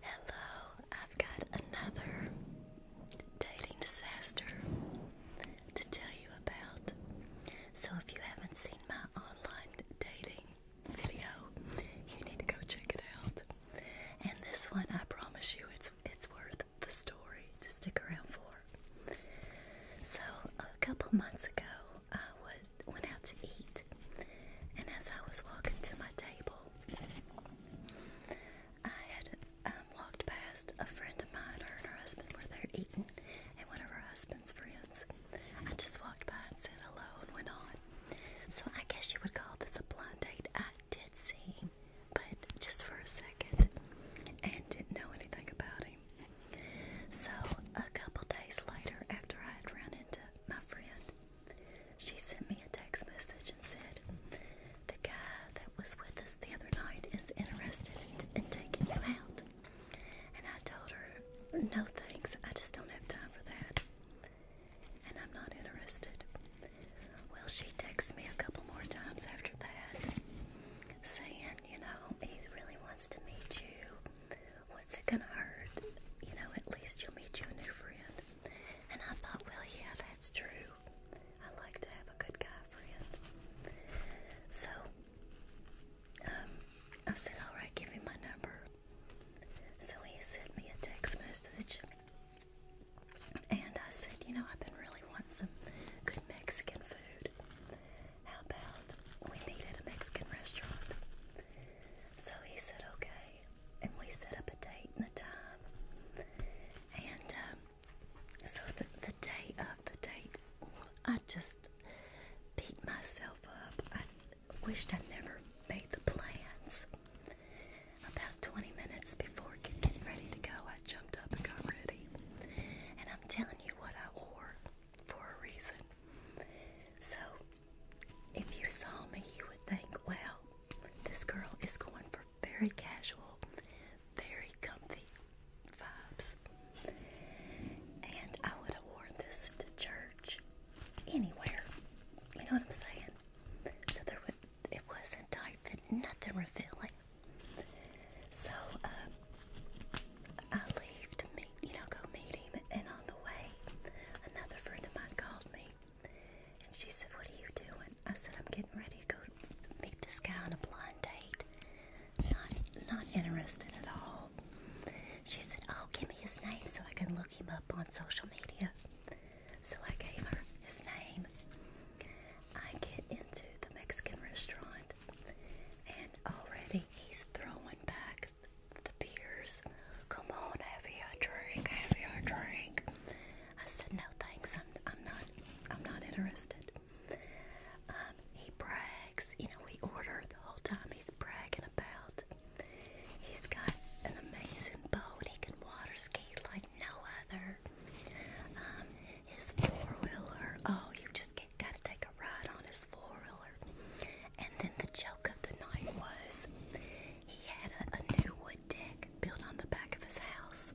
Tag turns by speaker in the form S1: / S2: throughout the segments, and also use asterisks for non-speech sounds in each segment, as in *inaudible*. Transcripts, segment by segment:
S1: Hello, I've got another dating disaster to tell you about. So, if you haven't seen my online dating video, you need to go check it out. And this one, I promise you, it's it's worth the story to stick around for. So, a couple months ago, I was went out to eat, and as I was walking to my table, I had um, walked past a friend of mine. Her and her husband were there eating, and one of her husband's friends. I just walked by and said hello and went on. So I guess you would call this a blind date. I did see but just for a second, and didn't know anything about him. So a couple days later, after I had run into my friend, she sent me a text message and said, The guy that was with us the other night is interested in, in taking you out. And I told her, No thanks, I just don't have time for that. And I'm not interested. Well, she texts me a couple more times after that, saying, You know, he really wants to meet you. What's it gonna hurt? You know, at least you'll meet you a new friend. And I thought, well, yeah, that's true. I like to have a good guy friend. So, um, I said, all right, give him my number. So he sent me a text message. And I said, you know, I've been really wanting some good Mexican food. How about we meet at a Mexican restaurant? So he said, okay. And we set up a date and a time. And um, so the, day of the date, I just beat myself up. I wished I'd never made the plans. About 20 minutes before getting ready to go, I jumped up and got ready. And I'm telling you what I wore for a reason. So, if you saw me, you would think, well, this girl is going for very casual, very comfy vibes. And I would have worn this to church anywhere. You know what I'm saying? So there would, it wasn't tight fit, nothing revealing. So, um, I leave to meet, you know, go meet him, and on the way, another friend of mine called me, and she said, "What are you doing?" I said, "I'm getting ready to go meet this guy on a blind date." Not, not interested at all. She said, "Oh, give me his name so I can look him up on social media." So I gave her his name. I get into the Mexican restaurant and already he's throwing back the beers. Come on, have your drink, have your drink. I said, no thanks, I'm, I'm not, I'm not interested. Um, he brags, you know, we order the whole time he's bragging about. He's got an amazing boat. He can water ski like no other. Um, his four wheeler. Oh, you just gotta take a ride on his four wheeler. And then the joke of the night was he had a, a new wood deck built on the back of his house,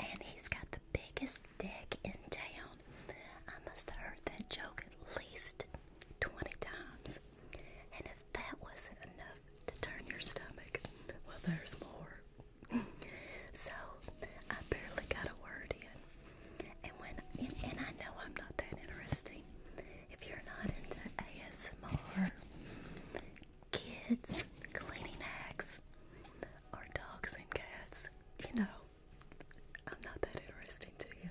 S1: and he's got the biggest deck in town. I must have heard that joke at least 20 times. And if that wasn't enough to turn your stomach, well, there's more. *laughs* so I barely got a word in. And when and, I know I'm not that interesting. If you're not into ASMR, kids, cleaning acts, or dogs and cats, you know, I'm not that interesting to you.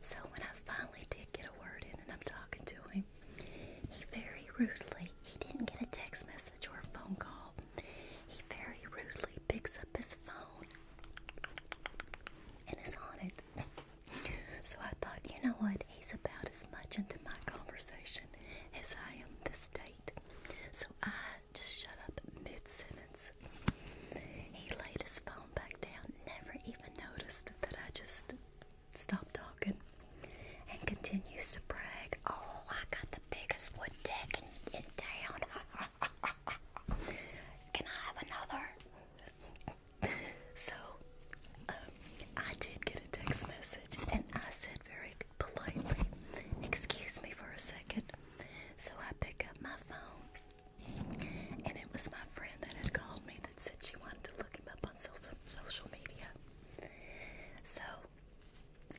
S1: So when I finally did get a word in and I'm talking to him, he very rudely, he didn't get a text message message or phone call, he very rudely picks up his phone and is on it. so I thought, you know what? He's about as much into my conversation as I am this date. So I just shut up mid sentence. He laid his phone back down, never even noticed that I just stop talking and continues to brag. Oh, I got the biggest wood deck in, town. *laughs* Can I have another? so, um, I did get a text message and I said very politely, Excuse me for a second. So I pick up my phone and it was my friend that had called me that said she wanted to look him up on social, social media. So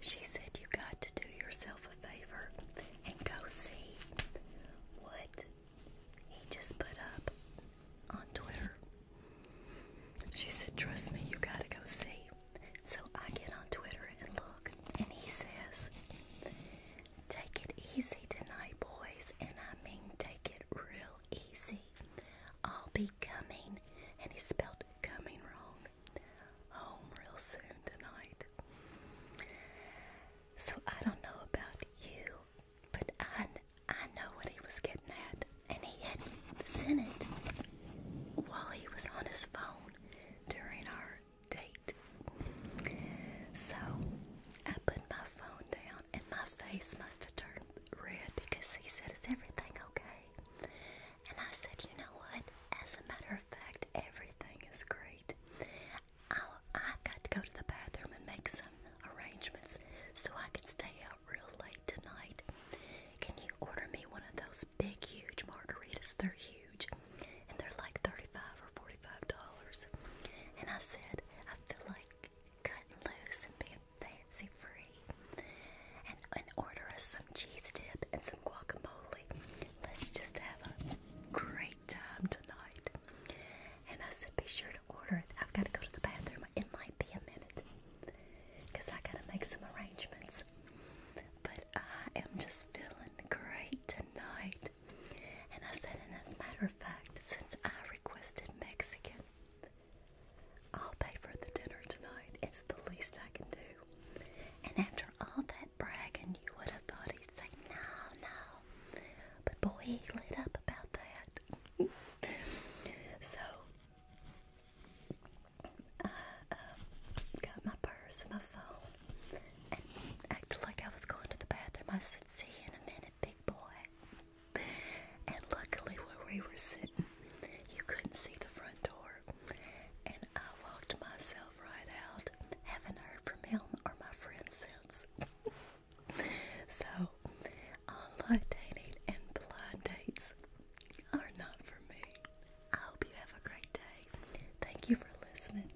S1: she said, You got to do yourself a favor and go see what he just put up on Twitter. She said, Trust me, you got to go see. So I get on Twitter and look, and he says, Take it easy tonight, boys. And I mean, take it real easy. I'll be coming, and he spelled coming wrong. Home real soon tonight. So I don't know about you, but I I know what he was getting at, and he had sent it while he was on his phone during our date. So I put my phone down and my face must have turned red because he said, Is everything okay? And I said, You know what? As a matter of fact, everything is great. i I've got to go to the bathroom and make some arrangements so I can stay out real late tonight. Can you order me one of those big, huge margaritas? They're huge and they're like 35 or $45. And I said, I feel like cut loose and be fancy free. And, order us some cheese dip and some guacamole. Let's just have a great time tonight. And I said, be sure to order it. I've got to go to the bathroom. It might be a minute because I got to make some arrangements. But I am just feeling great tonight. And I said, and as a matter of fact, since I requested Mexican, I'll pay for the dinner tonight. It's the least I can do. And after all that bragging, you would have thought he'd say, no, no. But boy, he lit up about that. so, I uh, got my purse and my phone and acted like I was going to the bathroom. I said, see you in a minute big boy. And luckily, where we were sitting, you couldn't see the front door. And I walked myself right out. Haven't heard from him or my friend since. *laughs* so, online dating and blind dates are not for me. I hope you have a great day. Thank you for listening.